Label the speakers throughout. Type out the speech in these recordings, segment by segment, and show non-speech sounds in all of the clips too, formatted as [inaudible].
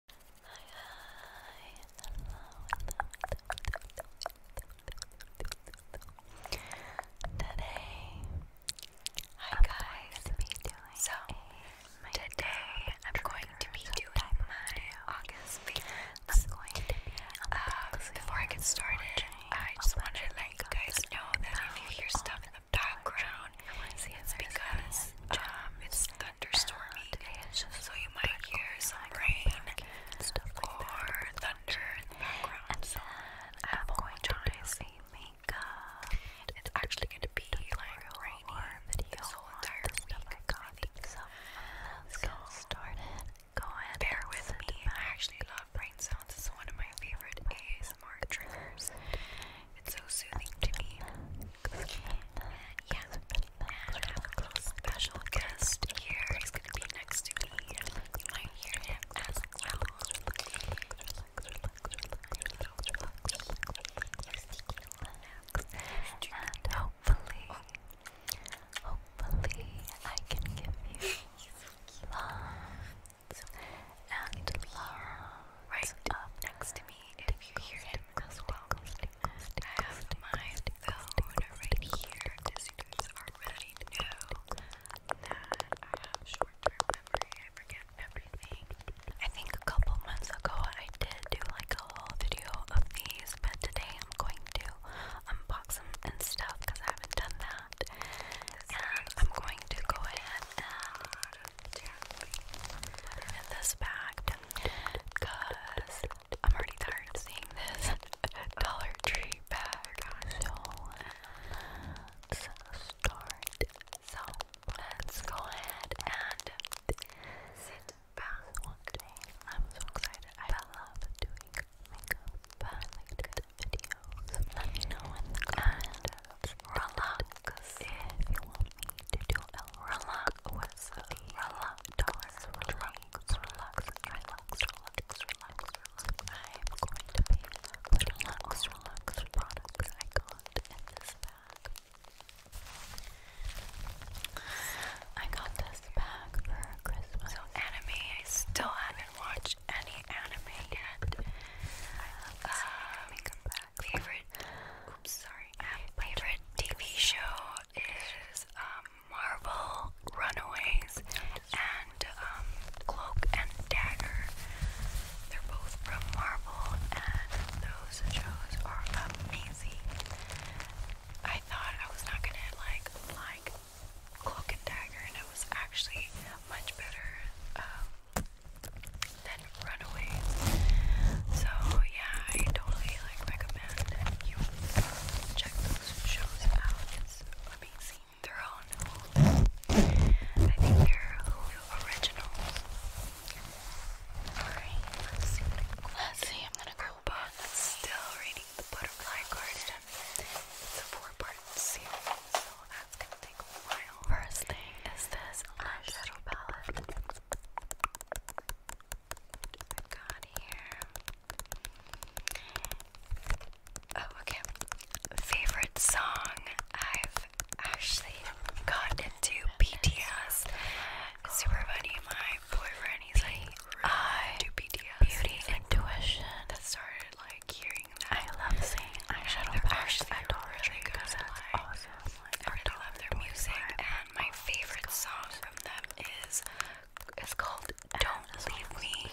Speaker 1: hi guys. so today I'm going to be doing my August favorites. Um, before I get started, I just wanted to let you guys know that if you hear stuff in the background, it's because um, it's thunderstormy, so you might hear some rain or thunder in the background. So I apologize. Makeup. It's actually going to be like rainy this whole entire week. I think so. Let's get started. Go ahead. Bear with me. I actually love rain sounds. It's one of my favorite ASMR triggers. It's so soothing to me. And yeah, I have a special guest here. He's gonna be next to me. You might him as well. And hopefully, hopefully, I can give you lots and lots right up next to me if you hear it as well. I have my phone right here because you guys already know that I have short-term memory. I forget everything. I think a couple months ago I did do like a whole video of these, but today I'm going to unbox them and stuff because I haven't done that. And I'm going to go ahead and put this bag Cause I'm already tired of seeing this [laughs] Dollar Tree bag. So let's start. So let's go ahead and sit back one day. I'm so excited. I love doing makeup, but I like to get videos. Let me know in the comments. Relax if you want me to do a relax was relax, relax, relax, relax, relax, relax, relax. I'm going to be relax, relax products I got in this bag. I got this bag for Christmas. So anime, I still haven't watched any anime yet. I uh, favorite sorry favorite TV show is um Marvel Runaways and um Cloak and Dagger. They're both from Marvel and those shows are amazing. I thought I was not gonna like like Cloak and Dagger and it was actually much better um, than run So yeah, I totally like recommend you check those shows out. It's amazing. They're all Hulu. I think they're Hulu originals. Alright, let's see Let's see, I'm gonna go back. Still reading The Butterfly Garden. It's a four-part series, so that's gonna take a while. First thing is this eyeshadow palette. I've got Oh, okay. Favorite song? I've actually gotten into BTS. super funny. My boyfriend, he's like, I do BTS. Beauty like, Intuition. That started I love seeing eyeshadow. They're awesome. I really love their music, and my favorite song from them is it's called "Don't Leave Me."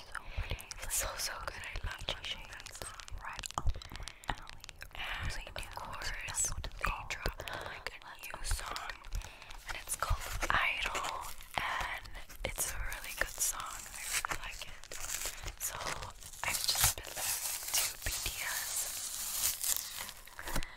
Speaker 1: It's so so good. I love watching that song. Right up my alley. And of course, they dropped like a new song, and it's called "Idol," and it's a really good song. I really like it. So I've just been listening to BTS.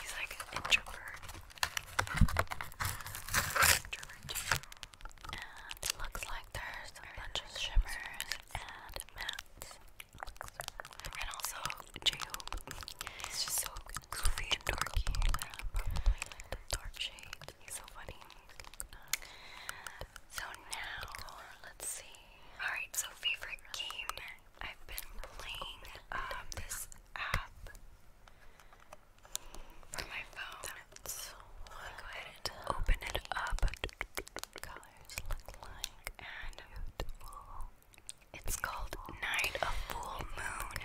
Speaker 1: He's like an introvert. introvert And looks like there's a bunch of shimmers and mattes. And also j He's just so goofy and dorky. dark shade. He's so funny. So now, let's see. Alright, so favorite game. I've been playing um, this app for my phone. so I'm go ahead open it up. Colors look like and beautiful. It's called Night of Full Moon.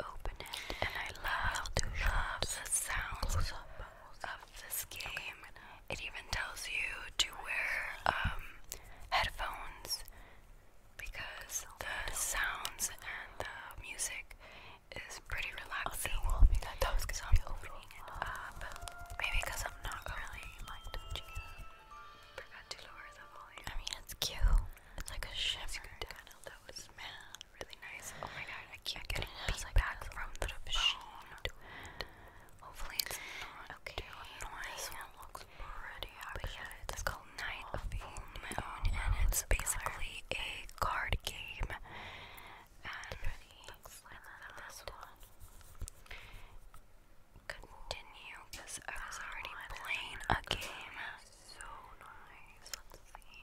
Speaker 1: open it. And I love, love the sounds of this game. It even tells you to wear um, headphones because the sounds and the music is pretty relaxing. Okay, well, that does so I'm opening it Maybe because I'm not really like touching it. Forgot to lower the volume. it's like a shimmer. really nice. Oh my god, I keep getting it Hopefully, it's not too annoying it's, called Night of the Full Moon and it's basically a card game. Continue because I was already playing a game. So nice. Let's see.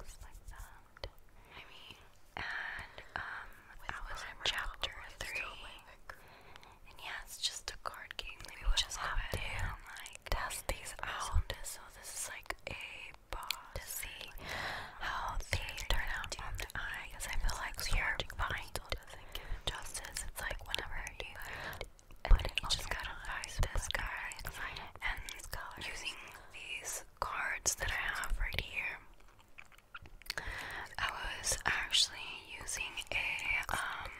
Speaker 1: Looks like that. I mean, and um, I was chapter three. And yeah, it's just a card game. we me just have to like test these out. So this is like a to see how they turn out on the I feel like you're blind justice. It's like whenever you put it, just gotta find And using these cards that I have right here. I was actually using a um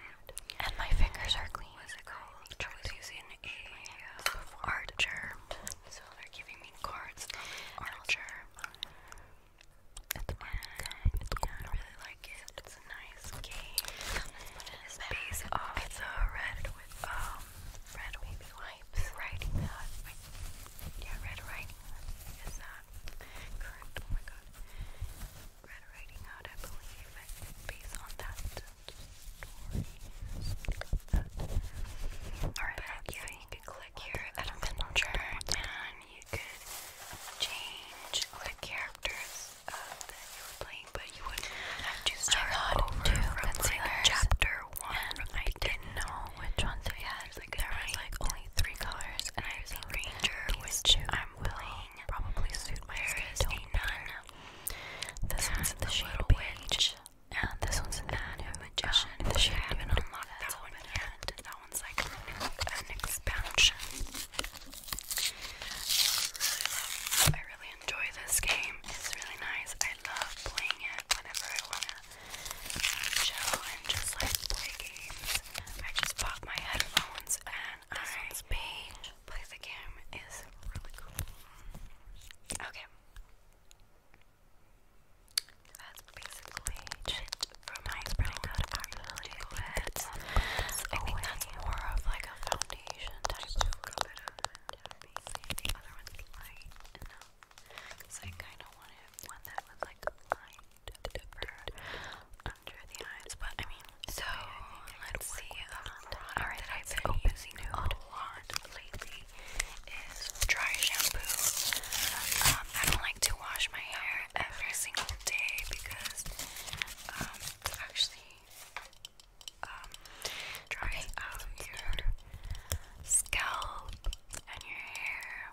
Speaker 1: and my fingers are clean. What is it called? I was using a uh, So they're giving me cards. Archer. It's and yeah, I really like it. It's a nice game. It's based off the red with um red baby wipes. Writing Yeah, red writing. Is that correct? Oh my god. Red I you could click here at a and you could change the characters uh, that you were playing, but you would have to start over from chapter one. I didn't know which ones I had. Like, there was like only three colors, and I'm using Ranger, which I'm willing probably suit my hair is a This one's the shade Witch, and this one's in the Magician. Um, the shade I have unlocked that one yet. That one's like an expansion. I really enjoy this game. It's really nice. I love playing it whenever I wanna chill and just like play games. I just pop my headphones and this I one's page. Play the game is really cool. Okay. That's basically it for my spread code. I really do it. I think that's more of like a foundation type of The other one's light enough. Because I kind of wanted one that was like light under the eyes, but I mean, so let's see. Um, um Alright, I've been using a lot lately is dry shampoo. Um, I don't like to wash my hair every single day because um, actually um, dries out your scalp and your hair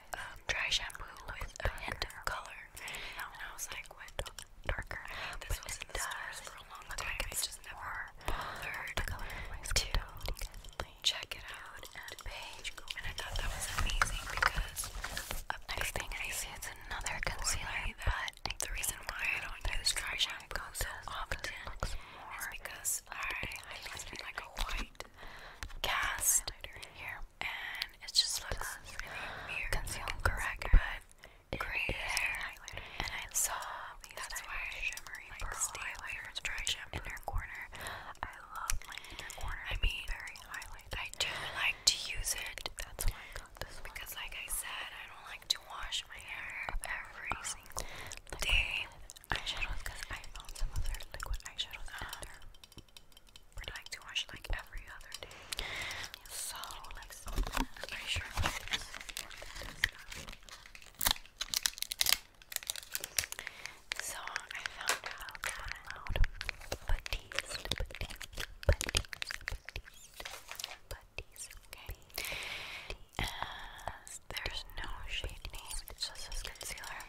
Speaker 1: um, dry shampoo with a hint of color. And I was like, what? Darker. I mean, this but was in the stores for a long time. Like I just never bothered to check it out and page. And I thought that was amazing because a big thing I see it's another concealer, but the reason why I don't use dry shampoo so often is because I, I like a white cast here, and it just looks just correct, but gray hair, and I saw that's shimmery pearl highlighters dry shampoo. inner corner. I love my inner corner. I mean, very highlight. I do like to use it. That's why I got this because, like I said, I don't like to wash my hair every single day eyeshadows because I found some other liquid eyeshadows out there. Uh-huh. Pretty like wash like every other day. So let's Pretty sure So I found out that Batiste, Batiste, Batiste, Batiste, Batiste, okay there's no shade name, it's just this concealer.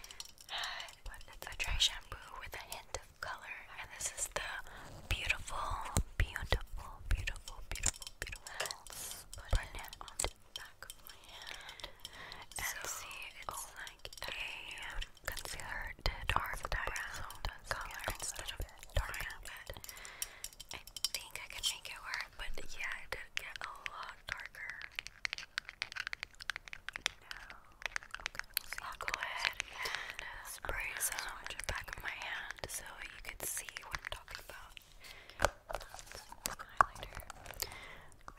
Speaker 1: [sighs] But it's a dry shampoo with a hint of color. And this is the beautiful, beautiful, beautiful, beautiful, beautiful. Let's put it on my hand. And so, see, it's oh, a concealer I think I can make it work, but yeah, it did get a lot darker okay, I'll go ahead and spray some on the back of my hand so you can see what I'm talking about.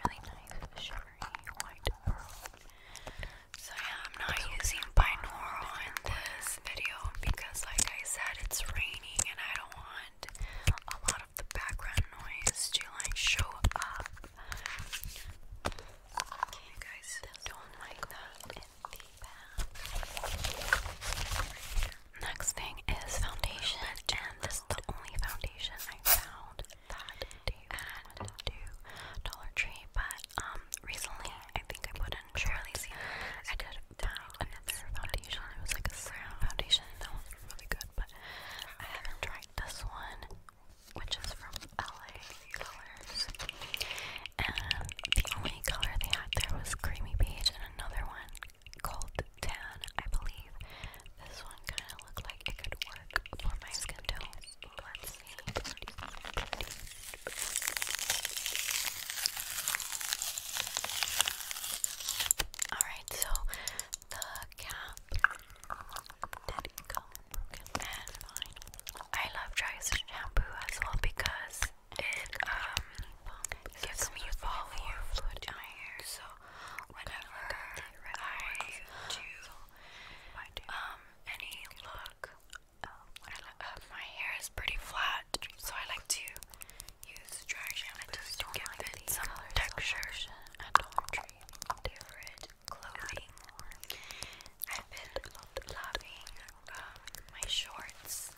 Speaker 1: Really nice, shimmery white pearl. So yeah, I'm not using binaural in this video because like I said, it's raining and I don't want a lot of the background noise to like show up Okay, guys, don't like that in the bath. Next thing is foundation, and this is the only foundation I found that at Dollar Tree. But um, recently, I think I put in Charlie's. I did find another foundation. It was like a brown foundation. That was really good, but I haven't tried this one, which is from LA Colors, and the only color they had there was creamy beige, and another one called tan, I believe. This one kind of looked like it could work for my skin tone. Let's see. Alright, so I love Dry's shampoo as well because it um gives me volume fluid in my hair. So whenever I do um any look, uh, my hair is pretty flat, so I like to use dry shampoo to give some texture and all different clothing. I've been loving um, my shorts.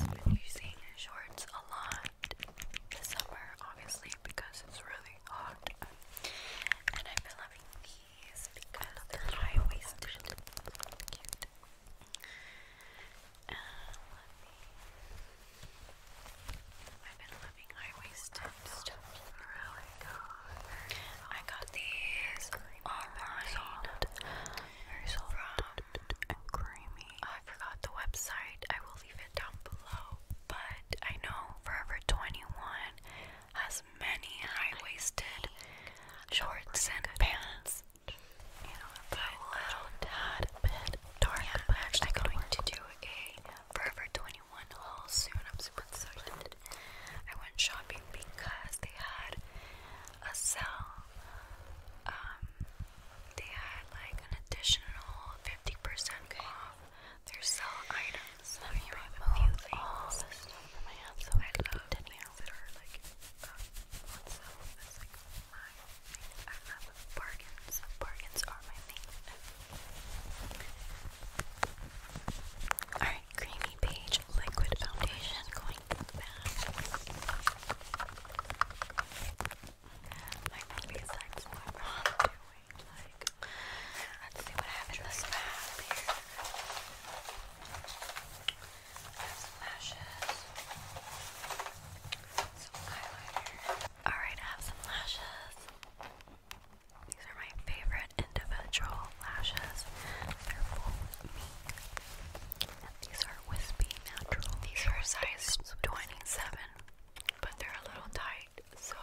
Speaker 1: I've been using shorts a lot this summer, obviously, because it's really hot. And I've been loving these because they're high waisted. Cute. I've been loving high got these online. Soft. Very soft and creamy. I forgot the website. I will leave it down below. But I know Forever 21 has many high waisted shorts and pants you know, little tad bit dark. I'm actually going to do a Forever 21 haul soon. I'm super excited. I went shopping because they had a sale. Um, they had like an additional 50% off their sale items. Let me so I love things that are like, on sale bargains. are my thing. Alright, creamy page liquid foundation going to the back. My movie sites what I'm doing. Like let's see what happened this map here. I have some some highlighter. Alright, I have some lashes. These are my favorite individual lashes. They're full mink. And these are wispy natural. These are size 27, but they're a little tight. So,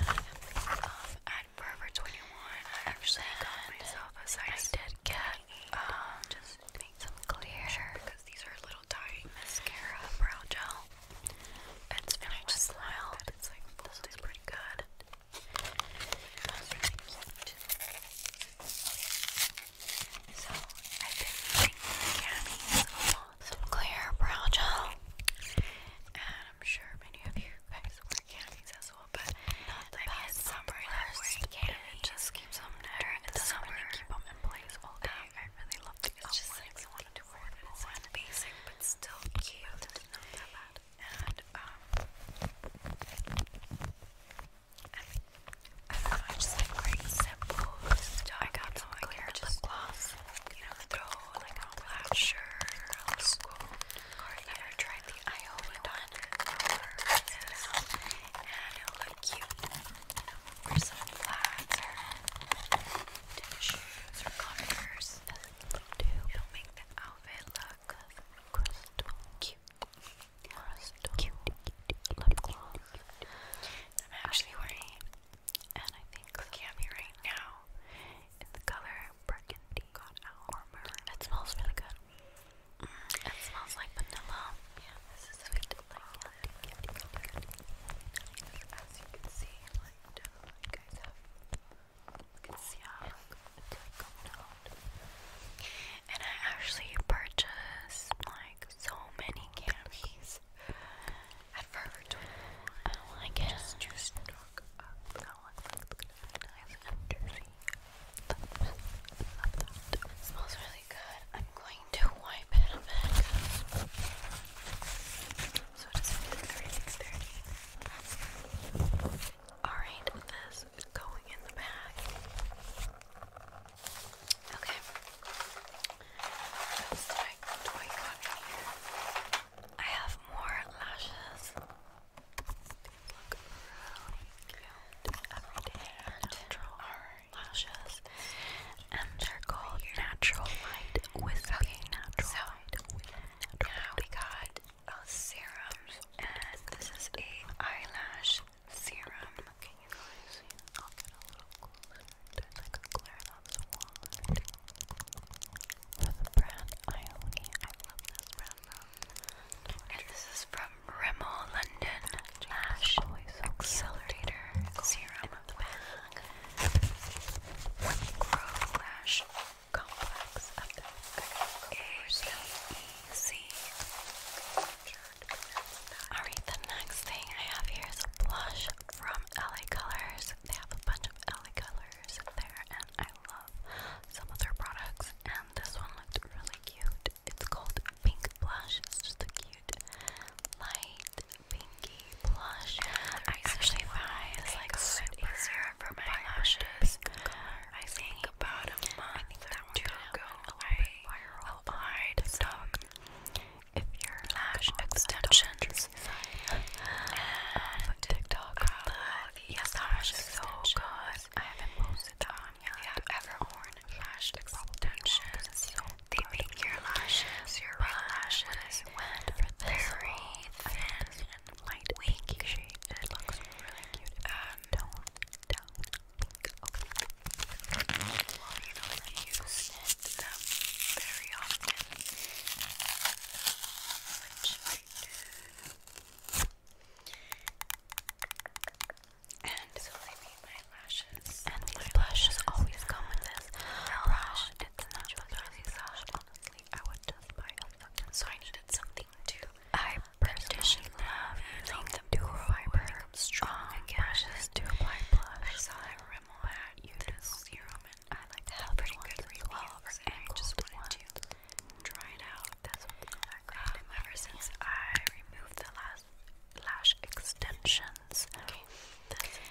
Speaker 1: um, at Forever 21, I actually got myself a size. I did get um, just make some clear because these are a little Dye Mascara Brow Gel. It's and I it's like this is pretty good. So I've been using Cammy's Some Clear Brow Gel. And I'm sure many of you guys wear Cammy's as well, but not the best. summer, the just keeps them there. It summer. keep them in place all um, day. I, I really it's just like I want to afford it. It's not basic, but still cute. It's not that bad. And um, I just like great simple stuff. I got like clear lip gloss. You know, like a black shirt. school. Or yeah. I tried the Iowa one. Yes. And it looked cute or some flats or or Converse. it'll make the outfit look crystal cute. Crystal cute. Lip gloss. I'm actually wearing, and I think looking right now, in the color burgundy got out It smells really good. it smells like vanilla. Yeah, this is sweet as you can see, like, I you guys have. You can see how it's coming out. And I actually purchased like so many camis at Forever 21. I like It smells really good. I'm going need to wipe it a bit. So it is 3630. Alright, this going in the bag. Okay. That's like what you got I have more lashes. These look really cute. Every day. All lashes, and they're called Natural Light Whisping Natural so, Light. Now we got a uh, serum, and this is a eyelash serum. Can you guys see? I'll get a little closer. It's like a glare that's a wand. This brand Ione. I love this brand though. And this is from Rimmel London. Lash Accelerator Serum of the Complex Alright, the next thing I have here is a blush from LA Colors. They have a bunch of LA Colors there and I love some of their products and this one looked really cute. It's called Pink Blush. It's just a cute light pinky blush. I actually find it's like so for my lashes. I think about a month I think that or two ago I applied some if your lash extensions TikTok. yes, lash is so good. I haven't posted that um, on have ever worn lash extensions. They make your lashes, your right very thin and light winky shape. It looks really cute. Um, don't, don't blink. Okay. Well, you know I use it um, very often, which I And and these blushes always come with this brush. it's not really soft, honestly. I would just buy a So I needed something to I personally love using the duo fiber strong um, brushes to apply blush. I saw that serum and I like to pretty good reviews and I just wanted to try it out. That's what um, ever since I removed the last lash extensions.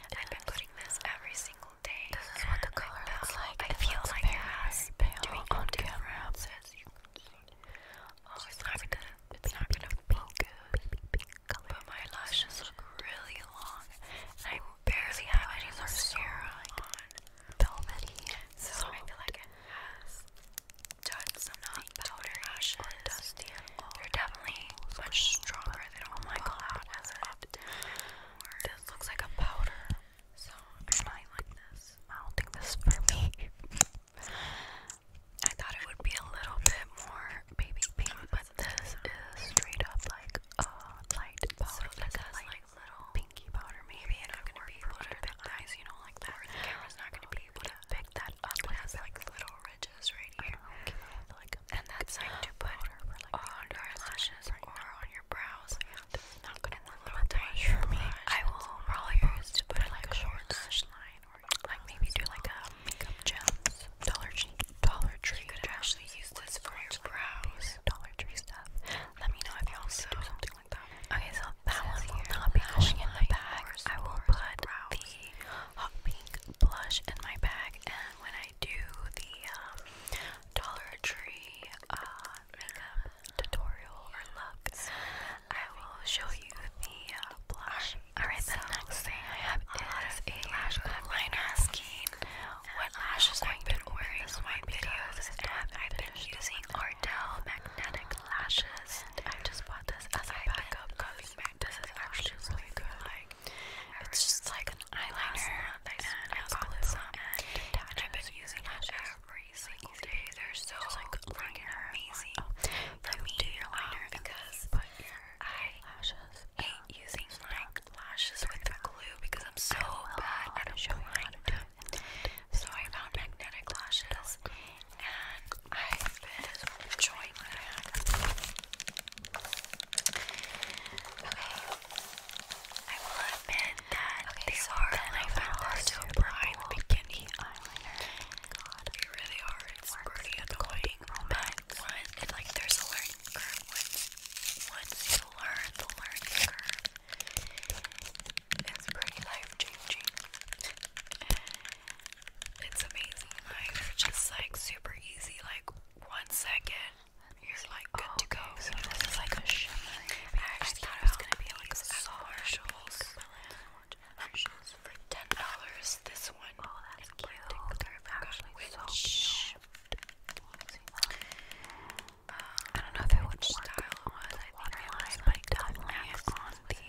Speaker 1: I've been putting this every single day. This is what the color I looks like. I it feel like very has doing on camera. Oh, it's not gonna, it's not gonna be good. But my lashes look really long, I barely have any mascara on. Velvety. So I feel like it has done some not powder lashes. They're definitely much stronger cover oh, This looks like a powder. So I might like this. I don't think this for me. [laughs] I thought it would be a little bit more baby pink, oh, but this is straight up like a light powder. like a like little pinky powder. Maybe I'm gonna be able to eyes, you know, like that. The not gonna be able that up. like little ridges right here. Oh, okay. Like and that's like to put like on your eyelashes right or on your brows. Yeah. This is not gonna work little tiny for me. I will probably use to put like a short lash line or like maybe do like a makeup gems. Dollar Tree Dollar Tree. You could actually use this for your brows. Dollar Tree stuff. Let me know if y'all also do something like that. Okay, so that one will not be going in the bag. I will put the hot pink blush in my bag, and when I do the um, Dollar Tree uh, makeup tutorial or looks, I will show you the uh, blush. Alright, the next thing I have is a lash liner asking what lashes I've been wearing in my videos, and I've been using Ardell Magnetic Lashes, and I just bought this as a backup because coming back. actually really good. it's just like an eyeliner. I bought this and, I've been using it every single day. They're so like amazing. For me, do your um, liner because I hate using like lashes with glue because I'm so bad at applying them. So I found magnetic lashes and I've been enjoying that. I will admit that okay, are like hard to apply in the Eyeliner. God, they really are. It's pretty annoying. But like, there's a learning curve. once you learn the learning curve, it's pretty life changing. It's amazing. just like super easy. Like one second, you're like good to go. this is like a shimmer. I thought it was gonna be like commercials. Commercials for ten dollars. This one. Oh, that's cute. actually so um, I don't know if it would style on I think it was like on the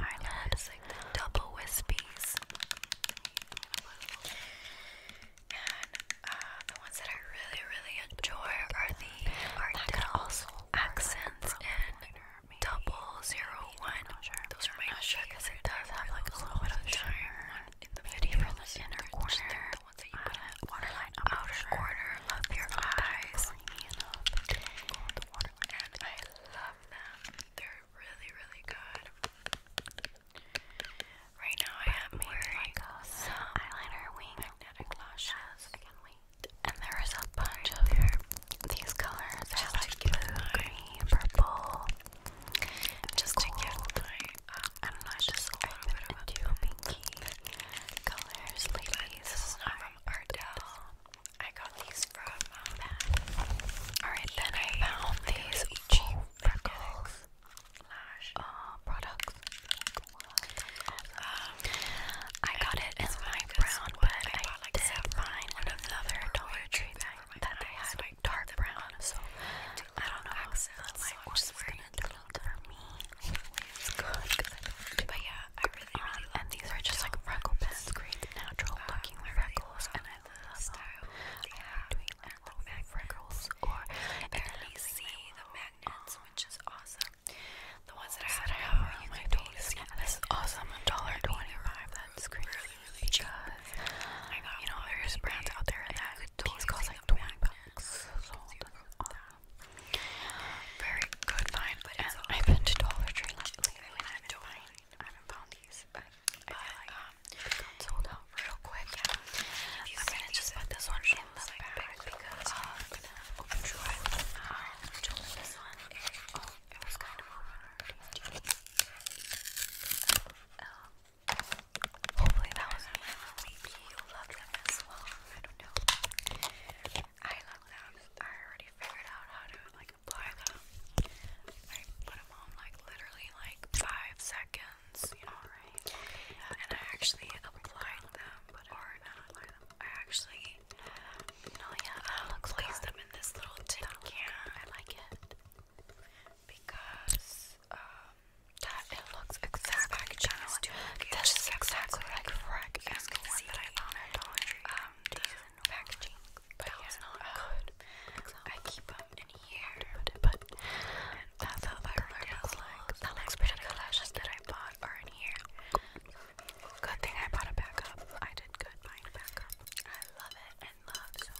Speaker 1: eyelids, uh, double wispies. And uh, the ones that I really, really enjoy are the Art Deco accents in double zero one. Those are my sure because it does have like a little bit of shine in the video from the inner corner. The ones that you put in uh, waterline outer corner of your eyes. I love them. they really, really good. Right now, I am wearing like some wing magnetic lashes. And there is a bunch of these colors. Just I like blue, green, purple. Just to give my um, a little bit of two pinky colors. Ladies, this is not from Ardell. I got these from Alright, then I found these cheap freckles uh, products. I got it in my brown, but I, did find another Dollar Tree bag that they had dark brown, so I don't know how so I'm just wearing it for me. but yeah, I really, really um, these are just like freckle pins, great natural uh, looking freckles, I love style they have and the magnets. Or at see the magnets, um, which is awesome. The ones that I have are my face. this is awesome. dollar twenty-five. That's crazy. Really You know, there's brands out there that these cost like twenty bucks. So very good find, I've been to Dollar Tree don't I haven't found these, but um, got sold real quick. I'm gonna just put this one in the like because uh, I'm gonna open um, this one. Oh, it was kind of hard. hopefully that was me. Maybe you loved them as well. I don't know. I love them. I already figured out how to like apply them. I put them on like literally like five seconds. You know, Alright. And I actually applied them, but or not apply I actually no, yeah, um, looks oh, placed them in this little tin can. I like it because um, that it looks exactly just This is exactly like correct as the one that I found Um, the packaging um, I keep them in here, but that's how my lashes look. That looks pretty Lashes that I bought are in here. Good thing I bought a backup. I did good I love it. And love so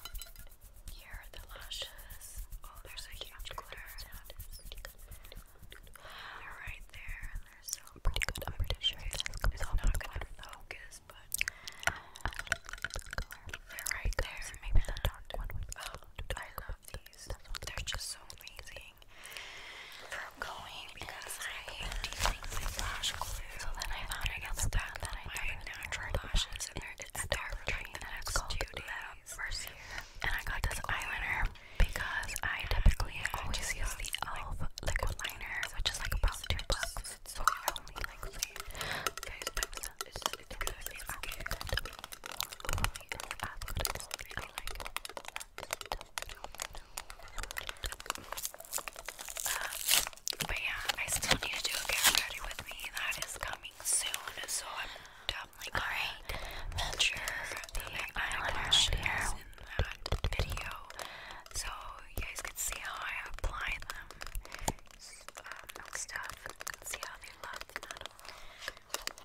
Speaker 1: here are the lashes. Oh, there's a huge glitter. Sound They're right there. They're so pretty good. I'm pretty sure it's not gonna focus but uh, right there. maybe the dark one oh, I love these. They're just so amazing. i going because I hate lash glue. So then I found another that that I my natural lashes, and they're it's dark green, and it's called Mercier. And I got this eyeliner because I typically always use the e.l.f. liquid liner, which is like about two bucks because it's so yummy, like sweet. Guys, my scent is so good. It's good. Only in the app, but it's really like um, but yeah, I still need to do a get ready with me. That is coming soon, so I'm definitely going right. to feature the eyeliner shares in that video so you guys can see how I apply them stuff. see how they love the metal.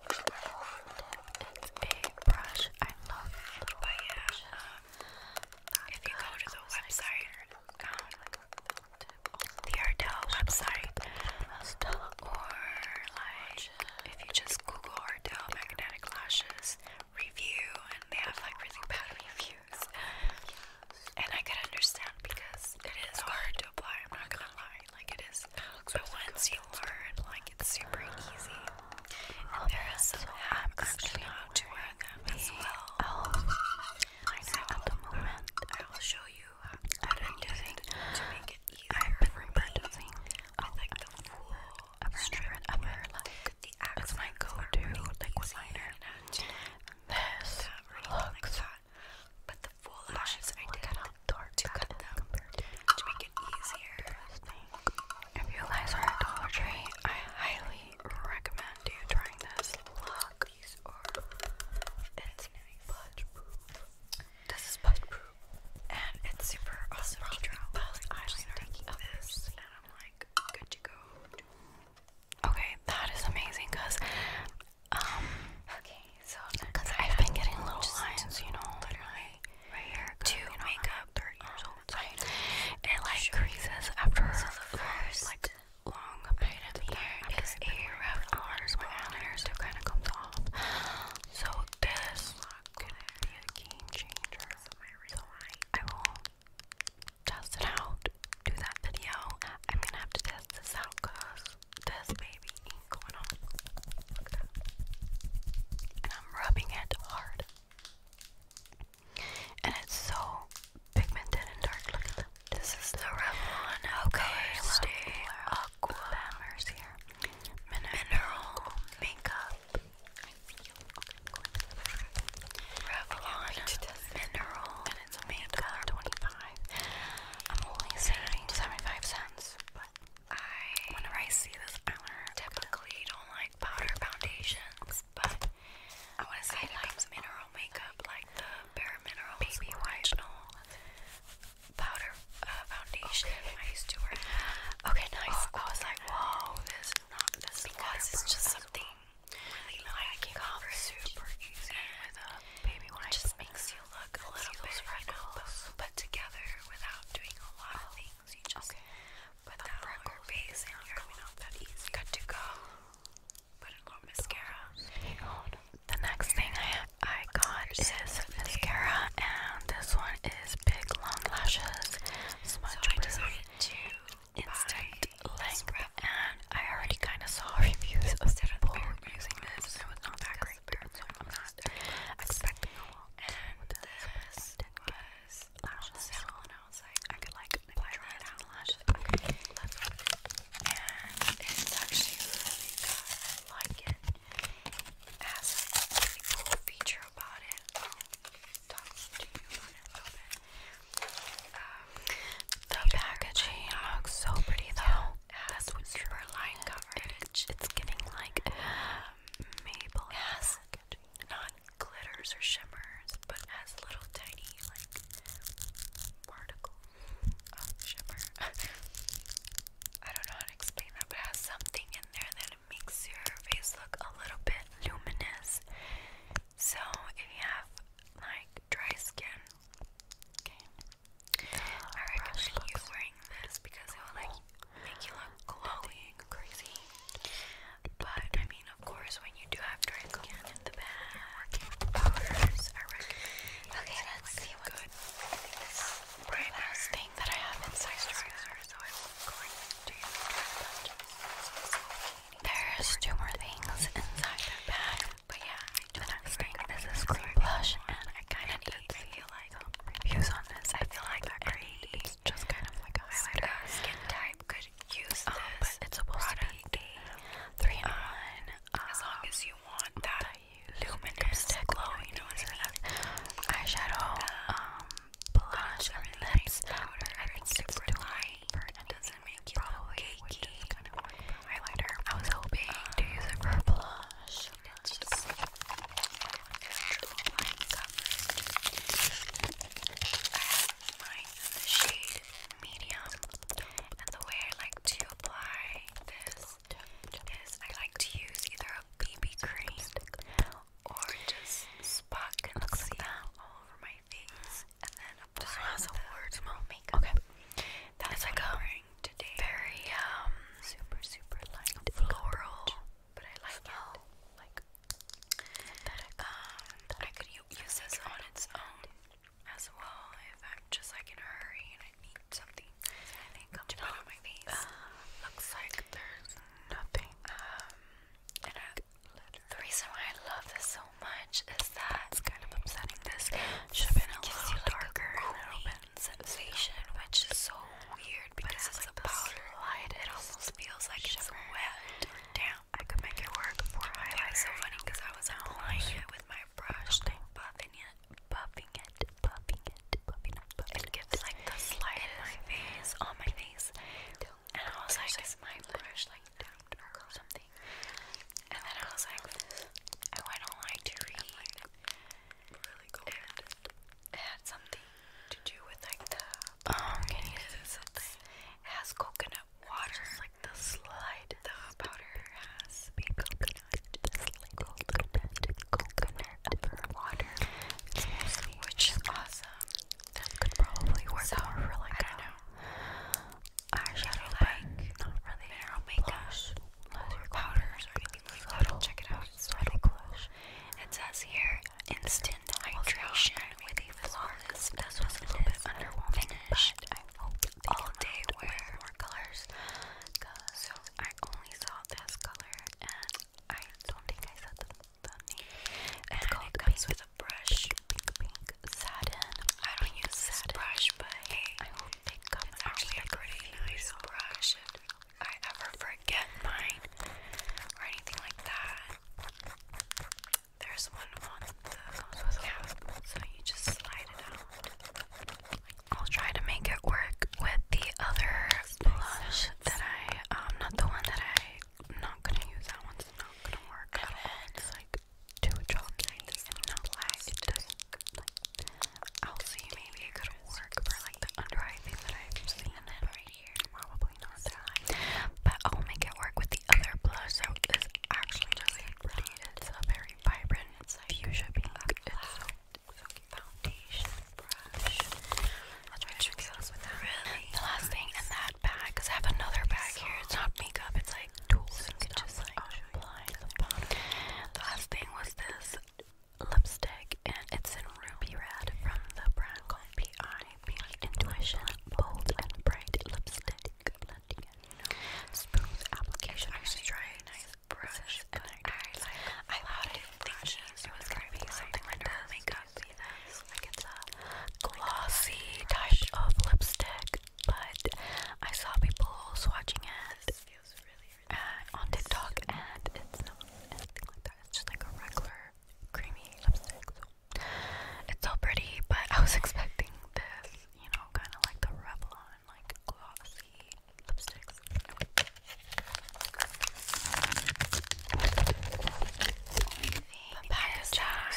Speaker 1: It's a brush. I love it. But yeah, if you go to the website, um, the Ardell website, or like if you just Google Ardell magnetic lashes review, and they have like really bad reviews. And I could understand because it is hard to apply, I'm not gonna lie. Like it is but once you learn, like it's super easy. there is some hacks on how well. So at the moment I will show you how to do it to make it easier for like the full strip of it. The axe my go liner. This but the full lashes I did how dark to to, make it easier. If you guys are at Dollar Tree, I highly recommend you trying this look. These are it's nice. Budge proof. This is budge proof, and it's super awesome. Probably the best Taking this, and I'm like good to go. Okay, that is amazing because, um, okay, so because I've been getting little lines, you know, literally right here to you know, make up 30 years old. Right. It like creases after so the first, like, long item here is a rough arms. My eyeliner still kind of comes off. So this could be a game changer. So I will test it out, do that video. I'm gonna have to test this out because this baby ain't going on. And I'm rubbing it hard. And it's so pigmented and dark. Look at that. This is the Revlon Okay, Stay Aqua here. Mineral, Makeup. Revlon Mineral that i I'm only saving 75 cents, but I, whenever I see this powder, typically don't like powder foundations, but I want to say it mineral makeup, like the Bare minerals Baby Original Powder uh, Foundation I used to wear. Okay, nice. Oh, I was like, whoa, this not this because it's just something really you know, like I can cover super easy with a baby wipe. It just makes you look a little bit freckles, but together without doing a lot of things. You just put the that freckle base in your coming off that easy. Good to go. Put a little mascara. The next thing I I got is mascara, and this one is Big Long Lashes so I To Instant perfect length, and I already kind of saw reviews of people using this, and it was not that great, so I'm not expecting a lot. And this was lashes salon, and I was like, I could like apply it on lashes, and it's actually really good. I like it. It has a really cool feature about it. I'll talk to you about it a little bit the packaging looks so pretty though. Yeah, it has super it's getting like maple. It not glitters or shimmers, but has little tiny like particle shimmer. [laughs] I don't know how to explain that, but has something in there that makes your face look a little bit luminous. So if you have like dry skin Okay. I recommend you wearing this because it will like make you look glowing, crazy. But I mean, of course, when you do after it in the bag, powders, I recommend. Okay, let's see what's good. Right thing that I have inside is so There's two more things inside the bag. But yeah, I do not think this is cream blush, and I kind of need I feel like reviews on this. I feel like that great. It's just kind of like a highlighter. skin type could use oh, this. it's supposed product. to be three in um, as long um, as you want that luminous glow, you know what Eyeshadow, um, um blush, and lips. Powder, I think it's super light. For an probably cakey? highlighter. I was um, hoping to use it for blush. It's just like line I have mine shade medium, and the way I like to apply this is I like to use either a BB cream or just spot concealer all over my face, and then just has a words mom makeup. Okay. That's like a Very um super super light floral, but I like that Like synthetic. Um, I could use this on its own as well if I'm just like in a hurry and I need something. I think I'm to my face. Uh, looks like there's nothing. Um, the reason why I love this so much is that it's kind of upsetting. This should have been a little darker, like, a, little bit sensation, which is so weird because it's, it's a powder light. It almost feels like it's shimmer. wet or damp. I could make it work for highlighter. It's so funny because I was applying it with my brush, okay. buffing it, buffing it, buffing it, buffing it, buffing it. It gives like the slight in my on my face, and I was like, is my brush like and then I was like, oh, I don't to read. Really It had something to do with like the. Oh, can you see something? has coconut water. like the slide. The powder has coconut. Just like coconut, coconut water. Which is awesome. That could probably work so, for like eyeshadow like not really narrow makeup or powders check it out. It's really It says here instant hydration with a flawless. This was a little bit underwhelming, but I hope all day wear more colors. So I only saw this color, and I don't think I said the, name. And, it comes with a brush, pink I don't use sad brush, but hey, I hope they come actually a pretty nice brush. I ever forget mine or anything like that, there's one on the cap, so you just slide it out. I'll try to make it work with the other blush that I, um, not the one that I. not gonna use that one's not gonna work at all like two chalklines not like. I'll see. Maybe it could work for like the under eye thing that I've seen in then right here. Probably not that. But I'll make it work with the other blush. So it's actually really pretty. It's a very vibrant. It's like fuchsia pink. It's Foundation brush. Let's Really the last thing in that bag, cause I have another bag here. It's not makeup. It's like the last thing was this lipstick, and it's in ruby red from the brand called PI Intuition Bold and Bright Lipstick Blending. Smooth application. I used to try nice brush, and I, thought I didn't think it was gonna be something like this. Makeup, like it's a glossy type of lipstick, but I saw people swatching it feels really uh, on TikTok, and it's not anything like that. It's just like a regular creamy lipstick. So it's so pretty, but I was [laughs] expecting this, you know, kind of like the Revlon, like glossy lipsticks.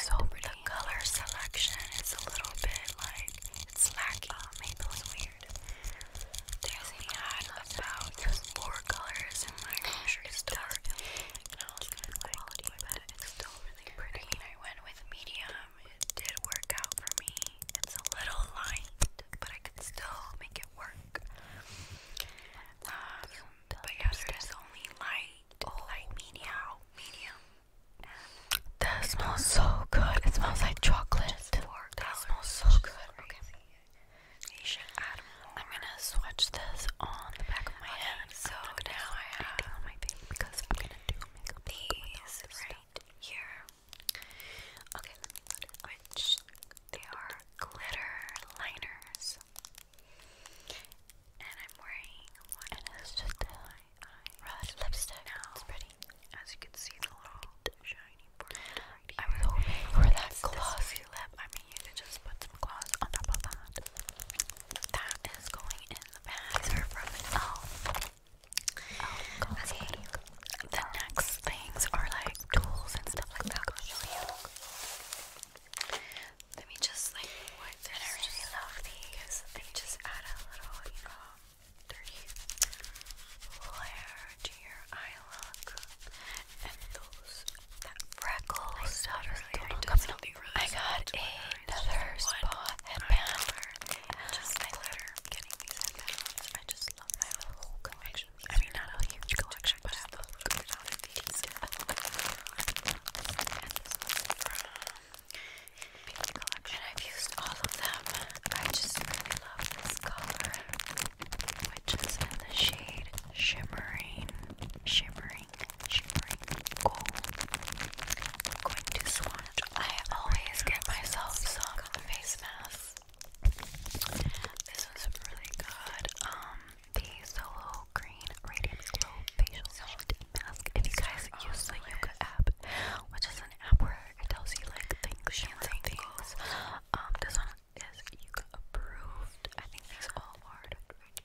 Speaker 1: so pretty color selection is a little bit like it's lacking. Uh, oh, maybe weird. There's a ad about four colors in my grocery store, and I was kind of like, but it's still really pretty. I went with medium. It did work out for me. It's a little light, but I could still make it work. Um, but yeah, there's only light, light, medium, medium. That smells so good. It smells like chocolate. That smells so good. Okay. You I'm gonna swatch this on the back of my okay, So now I have on my face because I'm gonna do makeup these right here. Okay, Which they are glitter liners, and I'm wearing lipstick. it's pretty. As you can see, the little shiny part I was hoping for that glossy lip. I mean, you could just put some gloss on top of that. That is going in the bag. These from Elf. The next things are like tools and stuff like that. Let me just like wipe I really love these. Let just add a little, you know, three layer to your eye and those that freckles that are I got another spa headband. getting these I just I mean, not a huge collection, but I have a good amount of these. And this pink I've used all of them. I just really love this color, which is in the shade Shimmering, Shimmering, Shimmering Gold. I'm going to swatch. I always get myself some face mask. This was really good. Um, the Solo Green Radiant Glow Facial Mask. If guys use the Yoga app, which is a app where it tells you like things, and things. Um, this one is you approved. I think these all are.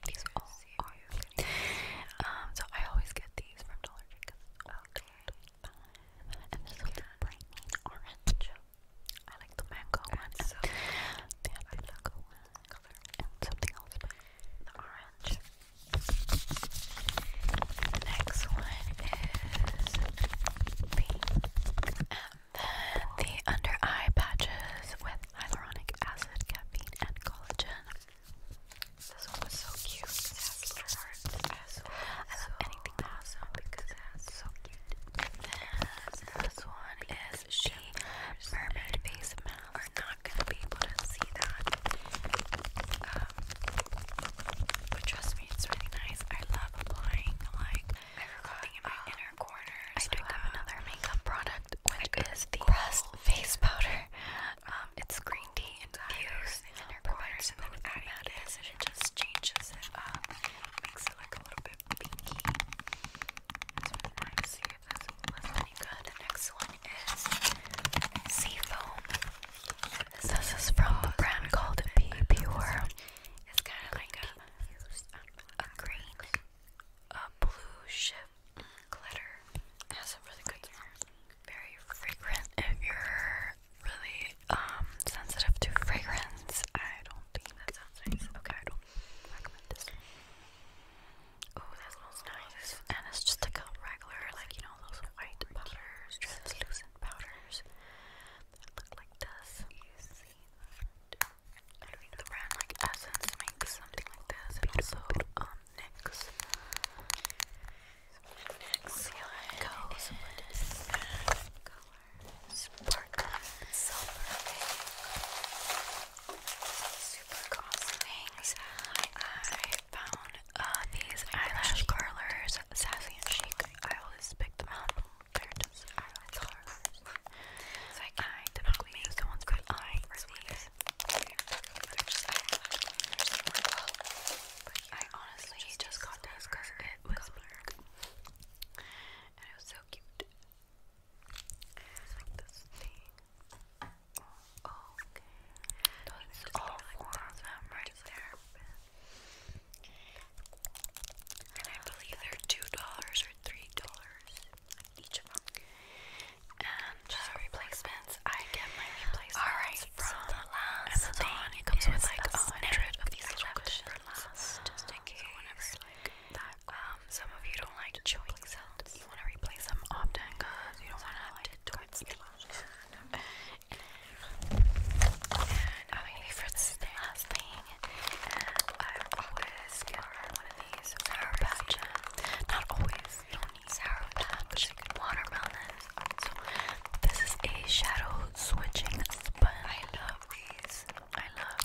Speaker 1: These all are. Um, so I always get these from Dollar Tree because it's okay. And this one's bright orange. I like the mango one. So they mango color and something else, the orange next one is And then the under eye patches with hyaluronic acid, caffeine, and collagen. This one was so cute because I love anything that because it so cute. And then this one is she mermaid face are not gonna be able to see that um, but trust me, it's really nice. I love applying like in my um, inner corners. I do have another makeup product, which is the Rust face powder. Um, it's green tea infused, and inner corners, and then adding this, it just changes it up, makes it like a little bit pinky. So I'm going to see good. The next one is sea foam. This is from a brand called Be Pure. It's kind of like a, green, a blue ship glitter. It has a really good, very fragrant. If you're really um sensitive to fragrance, I don't think that sounds nice. Okay, I don't recommend this. Oh, this smells nice, and it's just like a regular, like you know, all those white powders, translucent powders that look like this. I think the brand like Essence makes something like that. So also um color, sparkling silver Super awesome things. I found um, these eyelash curlers, Sassy Chic. I always pick them up. they eyelash curlers. So I, I typically use the ones with for these. I honestly just got this because it was black. And it was so cute. like this thing okay. That's all four of them right there. And I believe they're two dollars or three dollars each of them. And replacements, I get my replacements all right, from so the last Amazon. comes with like a hundred of these questions for last, just in case. So whenever, like um, some of you don't like chewing sounds, you want to replace them often because you don't want to have to do and my favorite last thing, I always get one of these sour patch. Not always, sour patch, watermelon. this is a shadow switching sponge. I love these. I love.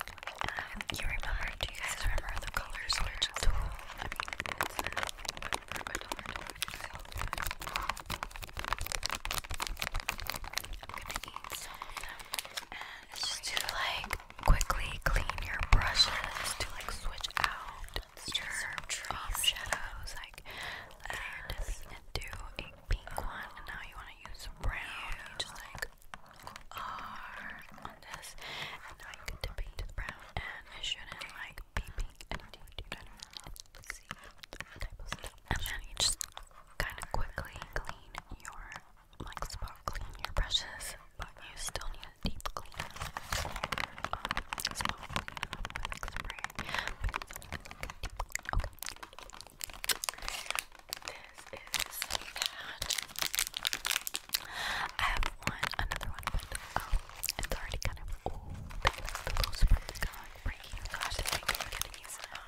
Speaker 1: you remember? Do you guys remember the colors switch tool? I mean, I'm gonna eat some of them. just to like quickly clean your brushes to like switch out your um, shadows. Like you're dipping a pink one, and now you want to use brown. just like R on this, and now you can dip into the brown, and it shouldn't like and I do that and then you just kind of quickly clean your like spot clean your brushes but you still need a deep clean um, spray this is that I have one another one um, it's already kind of old. I think I'm gonna use it up.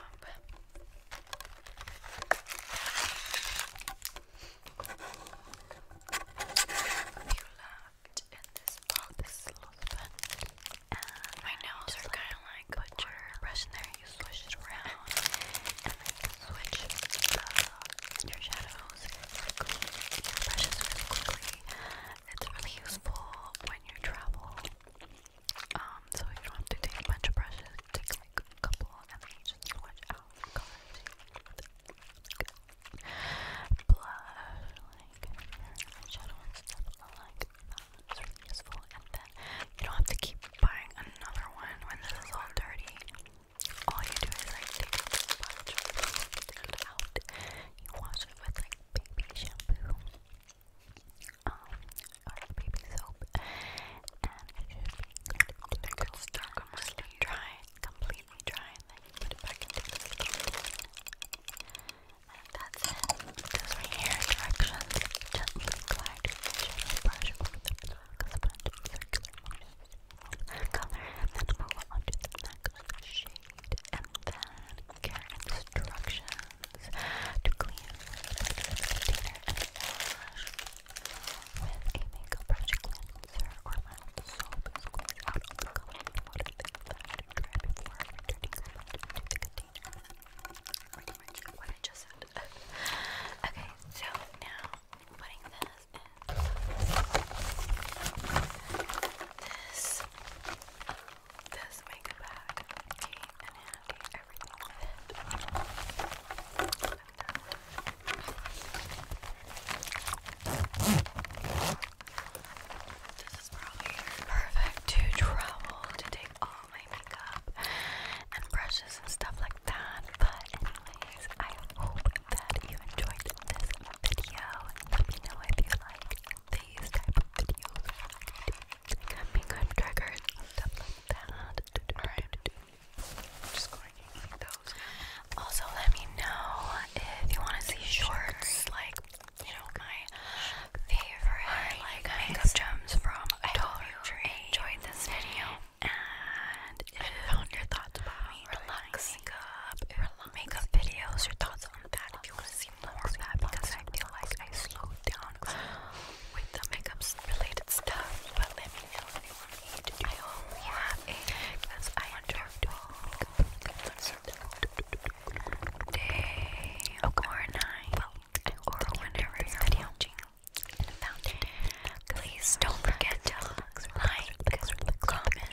Speaker 1: you loved in this box, this is a lot of fun. my nails are kind of like put your brush in there, you swish it around, and then switch your shadows quickly, your brushes quickly. It's really useful when you travel, um, so you don't to take a bunch of brushes. Take like a couple, and then you just switch out colors. Blush, like eyeshadow and stuff like that. It's really useful, and then you don't have to keep buying another one when this is dirty. All you do is like take a bunch, take it out, you wash it with like baby shampoo um, or baby soap and it should be good it gets stuck dry, completely dry and then put it back into the sleeve that's it, those right here directions gently glide your shadow brush over the black sponge in circular motion color and then move on to the next shade and then care instructions to clean with container and wash with a makeup brush cleanser or mild soap is going out of the and water before returning to the container. okay, so now putting this in this um, this makeup bag came handy, everything This is probably perfect to travel to take all my makeup and brushes and stuff like that. But anyways, I hope that you enjoyed this video. Let me know if you like these type of videos coming triggers stuff like that. I'm just going those. Also let me know if you want to see shorts like you know my favorite like makeup gems from Dollar Tree. Enjoyed this video and if you found your thoughts about me relax makeup, makeup videos, your thoughts on that if you want to see because I feel like I slowed down with the makeup related stuff. But let me know if you want me to do I hope you because I enjoy doing makeup day or night or whenever you're video. Please don't forget to like, comment,